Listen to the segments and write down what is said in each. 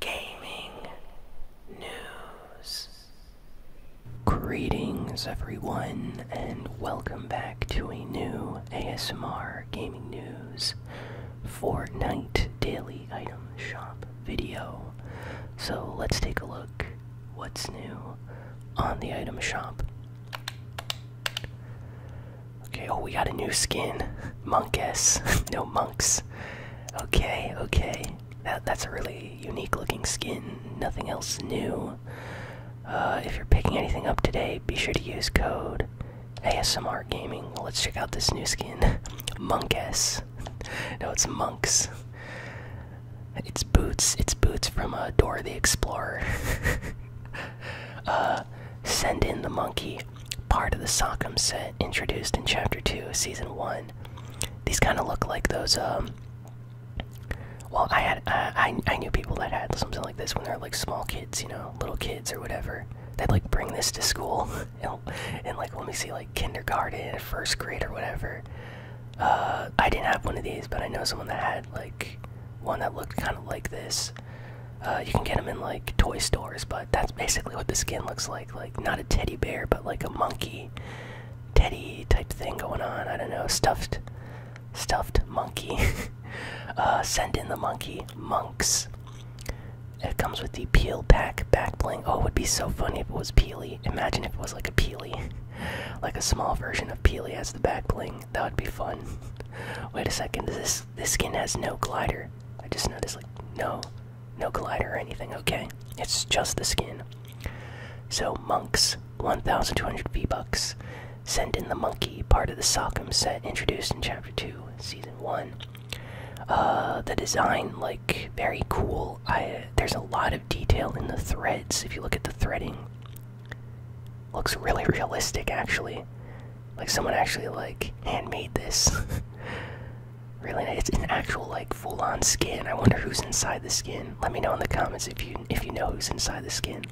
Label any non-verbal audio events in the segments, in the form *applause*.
gaming news. Greetings, everyone, and welcome back to a new ASMR Gaming News Fortnite Daily Item Shop video. So let's take a look what's new on the item shop. Okay, oh, we got a new skin. Monkess. *laughs* no monks. Okay, okay. That that's a really unique looking skin. Nothing else new. Uh, if you're picking anything up today, be sure to use code ASMR Gaming. let's check out this new skin, *laughs* Monkess. *laughs* No, it's monks. It's boots. It's boots from uh, Dora the Explorer. Uh, send in the monkey part of the Sockham set introduced in Chapter 2, Season 1. These kind of look like those, um, well, I had, I, I knew people that had something like this when they were like small kids, you know, little kids or whatever. They'd like bring this to school *laughs* and, like, let me see, like kindergarten, first grade or whatever. Uh, I didn't have one of these, but I know someone that had like one that looked kind of like this. Uh, you can get them in like toy stores, but that's basically what the skin looks like like like not a teddy bear, but like a monkey teddy type thing going on. I don't know, stuffed stuffed monkey. *laughs* uh, send in the monkey monks. It comes with the peel pack back bling. Oh, it would be so funny if it was peely. Imagine if it was like a peely. *laughs* like a small version of peely as the back bling. That would be fun. *laughs* Wait a second, this this skin has no glider. I just noticed like no no glider or anything, okay? It's just the skin. So, monks, 1,200 V-Bucks. Send in the monkey, part of the Sockham set introduced in Chapter 2, Season 1. Uh, the design, like, very cool. there's a lot of detail in the threads, if you look at the threading. Looks really *laughs* realistic, actually. Like, someone actually, like, handmade this. *laughs* Really, it's an actual like full-on skin. I wonder who's inside the skin. Let me know in the comments if you if you know who's inside the skin.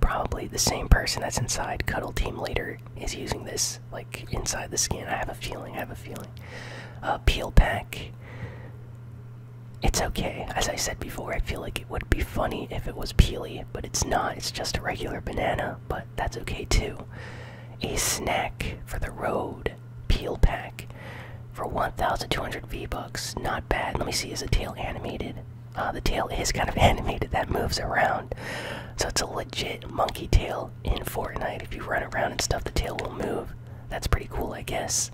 Probably the same person that's inside Cuddle Team Leader is using this like inside the skin. I have a feeling. I have a feeling. Uh, peel pack. It's okay. As I said before, I feel like it would be funny if it was peely, but it's not. It's just a regular banana. But that's okay too. A snack for the road peel pack for 1,200 V bucks. Not bad. Let me see. Is the tail animated? Uh, the tail is kind of *laughs* animated. That moves around, so it's a legit monkey tail in Fortnite. If you run around and stuff, the tail will move. That's pretty cool, I guess.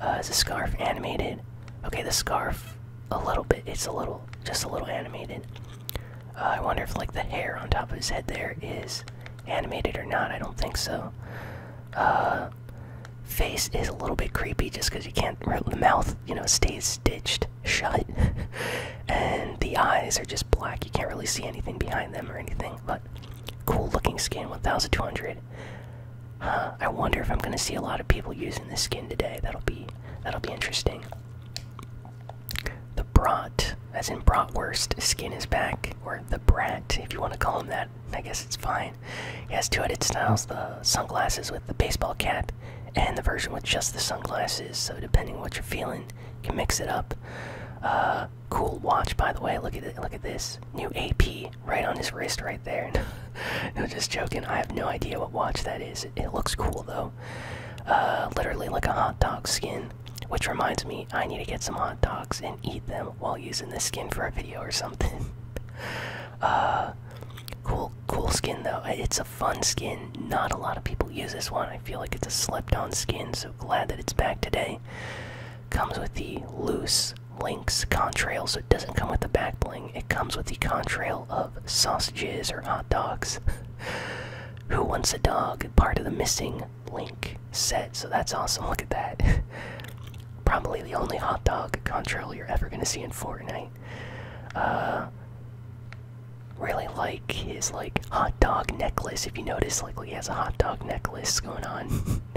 Uh, is the scarf animated? Okay, the scarf a little bit. It's a little, just a little animated. Uh, I wonder if like the hair on top of his head there is animated or not. I don't think so. Uh, face is a little bit creepy just because you can't. The mouth, you know, stays stitched shut, *laughs* and the eyes are just black. You can't really see anything behind them or anything. But cool looking skin, 1,200. I wonder if I'm gonna see a lot of people using this skin today. That'll be that'll be interesting. The Brat, as in Bratwurst, skin is back, or the Brat, if you want to call him that. I guess it's fine. He has two edit styles the sunglasses with the baseball cap, and the version with just the sunglasses, so depending what you're feeling, you can mix it up. Uh, cool watch, by the way. Look at Look at this new AP right on his wrist, right there. *laughs* no, just joking. I have no idea what watch that is. it looks cool though. Uh, literally like a hot dog skin which reminds me i need to get some hot dogs and eat them while using this skin for a video or something *laughs* uh, cool cool skin though it's a fun skin not a lot of people use this one i feel like it's a slipped on skin so glad that it's back today comes with the loose links contrail so it doesn't come with the back bling it comes with the contrail of sausages or hot dogs *laughs* Who wants a dog? Part of the missing link set. So that's awesome. Look at that. *laughs* Probably the only hot dog control you're ever gonna see in Fortnite. Uh, really like his like hot dog necklace. If you notice, likely has a hot dog necklace going on. *laughs*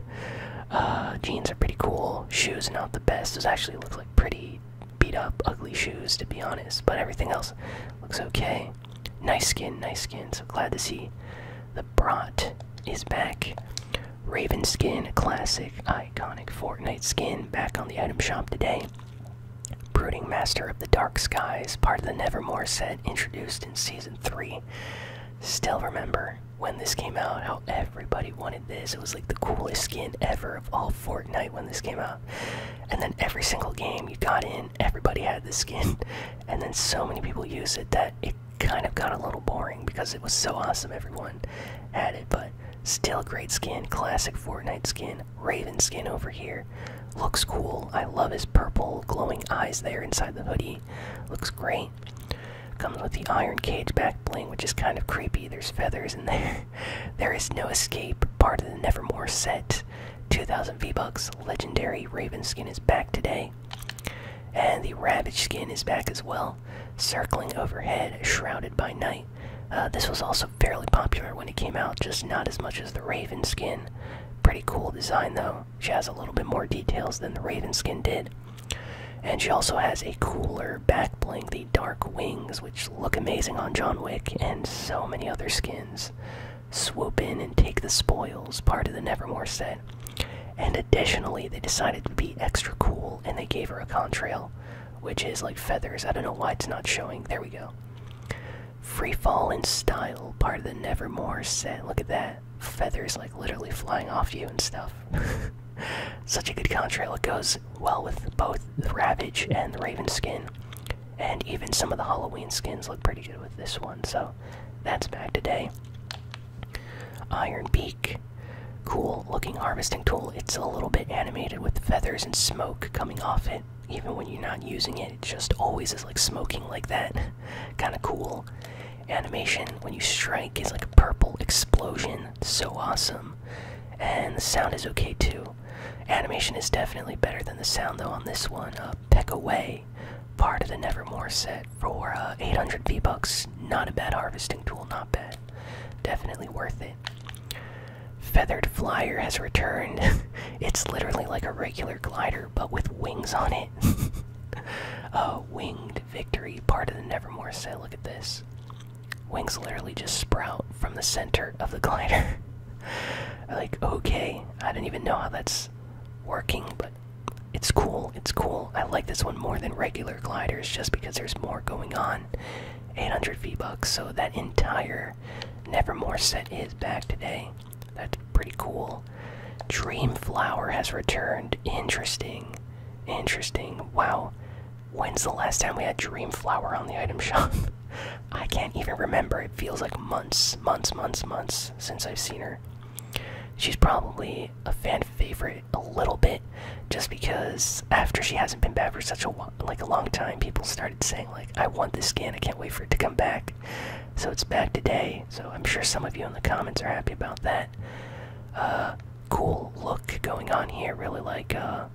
Uh, jeans are pretty cool. Shoes not the best. Does actually look like pretty beat up, ugly shoes, to be honest, but everything else looks okay. Nice skin, nice skin. So glad to see the Brat is back. Raven skin, classic, iconic Fortnite skin, back on the item shop today. Brooding Master of the Dark Skies, part of the Nevermore set introduced in Season 3. Still remember when this came out, how everybody wanted this. It was like the coolest skin ever of all Fortnite when this came out and then every single game you got in, everybody had this skin, *laughs* and then so many people use it that it kind of got a little boring because it was so awesome everyone had it, but still great skin, classic Fortnite skin, Raven skin over here. Looks cool. I love his purple glowing eyes there inside the hoodie. Looks great. Comes with the iron cage back bling, which is kind of creepy. There's feathers in there. *laughs* There is no escape. Part of the Nevermore set. 2,000 V-Bucks. Legendary Raven skin is back today. And the Ravage skin is back as well. Circling overhead, shrouded by night. Uh, this was also fairly popular when it came out, just not as much as the Raven skin. Pretty cool design though. She has a little bit more details than the Raven skin did. And she also has a cooler back bling, the Dark Wings, which look amazing on John Wick and so many other skins. Swoop in and take the spoils, part of the Nevermore set. And additionally, they decided to be extra cool and they gave her a contrail, which is like feathers. I don't know why it's not showing. There we go. Free fall in style, part of the Nevermore set. Look at that. Feathers like literally flying off you and stuff. *laughs* Such a good contrail. It goes well with both the Ravage and the Raven skin. And even some of the Halloween skins look pretty good with this one, so that's back today. Iron Beak. Cool looking harvesting tool. It's a little bit animated with feathers and smoke coming off it. Even when you're not using it, it just always is like smoking like that. *laughs* kind of cool. Animation when you strike it's like a purple explosion. So awesome. And the sound is okay too. Animation is definitely better than the sound though on this one. Uh, Peck Away, part of the Nevermore set for uh, 800 V-Bucks. Not a bad harvesting tool, not bad. Definitely worth it. Feathered Flyer has returned. *laughs* it's literally like a regular glider, but with wings on it. uh, *laughs* winged Victory, part of the Nevermore set. Look at this. Wings literally just sprout from the center of the glider. *laughs* like, okay, I do not even know how that's working, but it's cool. It's cool. I like this one more than regular gliders just because there's more going on. 800 V-Bucks, so that entire Nevermore set is back today. That's pretty cool. Dreamflower has returned. Interesting. Interesting. Wow. When's the last time we had Dreamflower on the item shop? *laughs* I can't even remember. It feels like months, months, months, months since I've seen her. She's probably a fan favorite a little bit, just because after she hasn't been back for such a like a long time, people started saying like, "I want this skin. I can't wait for it to come back." So it's back today. So I'm sure some of you in the comments are happy about that. Uh, cool look going on here. Really like, uh,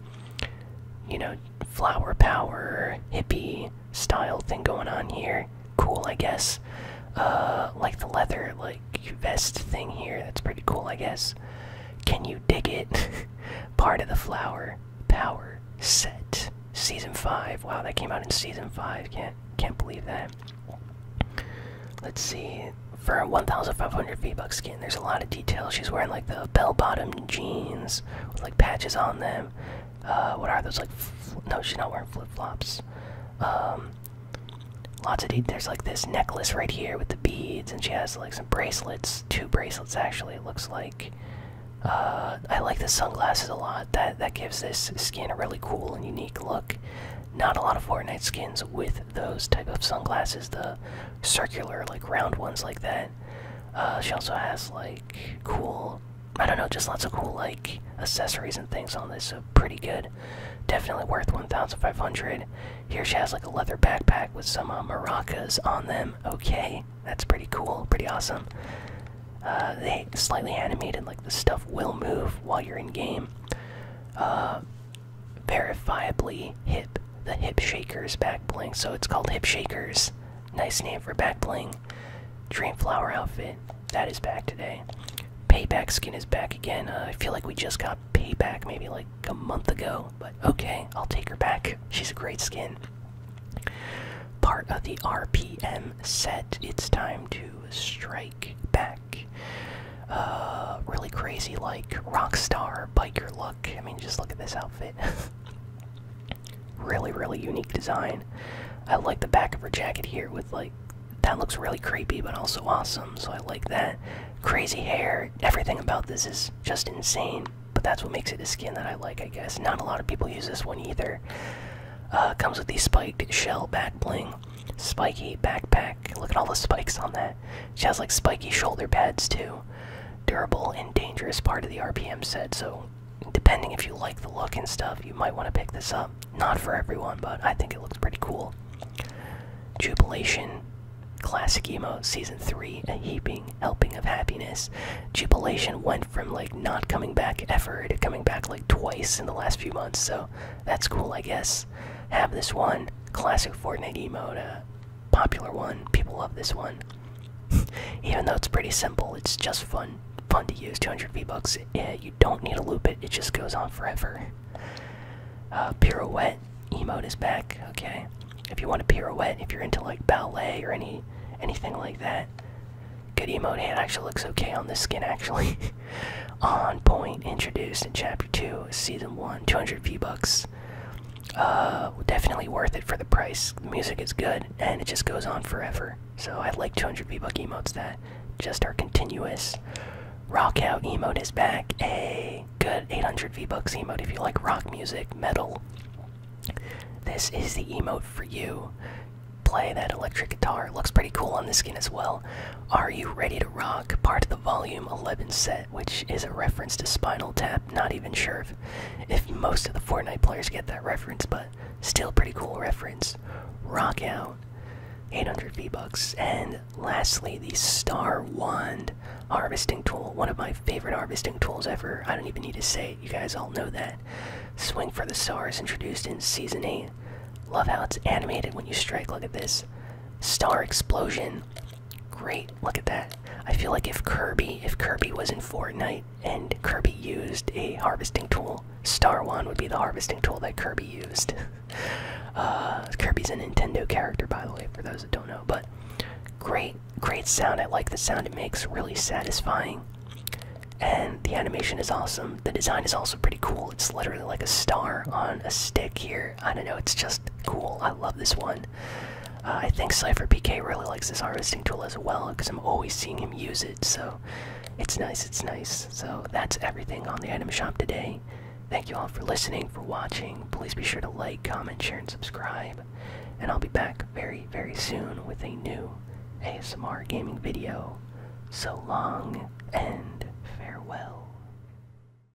you know, flower power hippie style thing going on here. Cool, I guess. Uh, like the leather like vest thing here. That's pretty cool, I guess. Can you dig it? *laughs* Part of the flower power set season five. Wow, that came out in season five. Can't can't believe that. Let's see. For 1,500 V-Bucks skin, there's a lot of She's wearing like the bell-bottom jeans with like patches on them. Uh, what are those like? No, she's not wearing flip-flops. Um, lots of there's like this necklace right here with the beads, and she has like some bracelets. Two bracelets actually. It looks like. Uh, I like the sunglasses a lot. That that gives this skin a really cool and unique look. Not a lot of Fortnite skins with those type of sunglasses. The circular, like round ones like that. Uh, she also has like cool, I don't know, just lots of cool like accessories and things on this. So pretty good. Definitely worth 1,500. Here she has like a leather backpack with some uh, maracas on them. Okay, that's pretty cool, pretty awesome. Uh, they slightly animated, like the stuff will move while you're in game. Uh, verifiably hip, the hip shakers back bling. So it's called hip shakers. Nice name for back bling. Dreamflower outfit that is back today. Payback skin is back again. Uh, I feel like we just got payback maybe like a month ago, but okay, I'll take her back. She's a great skin. Part of the RPM set. It's time to strike back. Uh, really crazy like rockstar biker love I mean, just look at this outfit. *laughs* really, really unique design. I like the back of her jacket here with like that looks really creepy but also awesome. So I like that. Crazy hair. Everything about this is just insane. But that's what makes it a skin that I like, I guess. Not a lot of people use this one either. Uh, comes with the spiked shell back bling, spiky backpack. Look at all the spikes on that. She has like spiky shoulder pads too. Durable and dangerous part of the RPM set, so depending if you like the look and stuff, you might want to pick this up. Not for everyone, but I think it looks pretty cool. Jubilation, classic emote, season 3, a heaping helping of happiness. Jubilation went from like not coming back ever to coming back like twice in the last few months, so that's cool, I guess. Have this one, classic Fortnite emote popular one. People love this one. *laughs* Even though it's pretty simple, it's just fun. Fun to use. 200 V-Bucks. you don't need to loop it. It just goes on forever. Uh, pirouette emote is back. Okay. If you want to pirouette, if you're into like ballet or any anything like that, good emote. It actually looks okay on the skin. Actually, *laughs* on point. Introduced in chapter two, season one. 200 V-Bucks uh, definitely worth it for the price. The music is good, and it just goes on forever. So I like 200 v Bucks emotes that just are continuous. Rock out emote is back. A hey, good 800 V-Bucks emote if you like rock music, metal. This is the emote for you. Play that electric guitar. looks pretty cool on the skin as well. Are you ready to rock? Part of the volume 11 set which is a reference to Spinal Tap. Not even sure if, most of the Fortnite players get that reference, but still pretty cool reference. Rock out, 800 V-Bucks. And lastly, the Star Wand harvesting tool. One of my favorite harvesting tools ever. I don't even need to say it. You guys all know that. Swing for the Stars, introduced in Season 8. Love how it's animated when you strike. Look at this. Star Explosion. Great, look at that. I feel like if Kirby, if Kirby was in Fortnite and Kirby used a harvesting tool, Star One would be the harvesting tool that Kirby used. *laughs* Uh, Kirby's a Nintendo character, by the way, for those that don't know. But great, great sound. I like the sound it makes. Really satisfying. And the animation is awesome. The design is also pretty cool. It's literally like a star on a stick here. I don't know, it's just cool. I love this one. Uh, I think Cypher PK really likes this harvesting tool as well because I'm always seeing him use it, so it's nice, it's nice. So that's everything on the item shop today. Thank you all for listening, for watching. Please be sure to like, comment, share, and subscribe. And I'll be back very, very soon with a new ASMR gaming video. So long and farewell.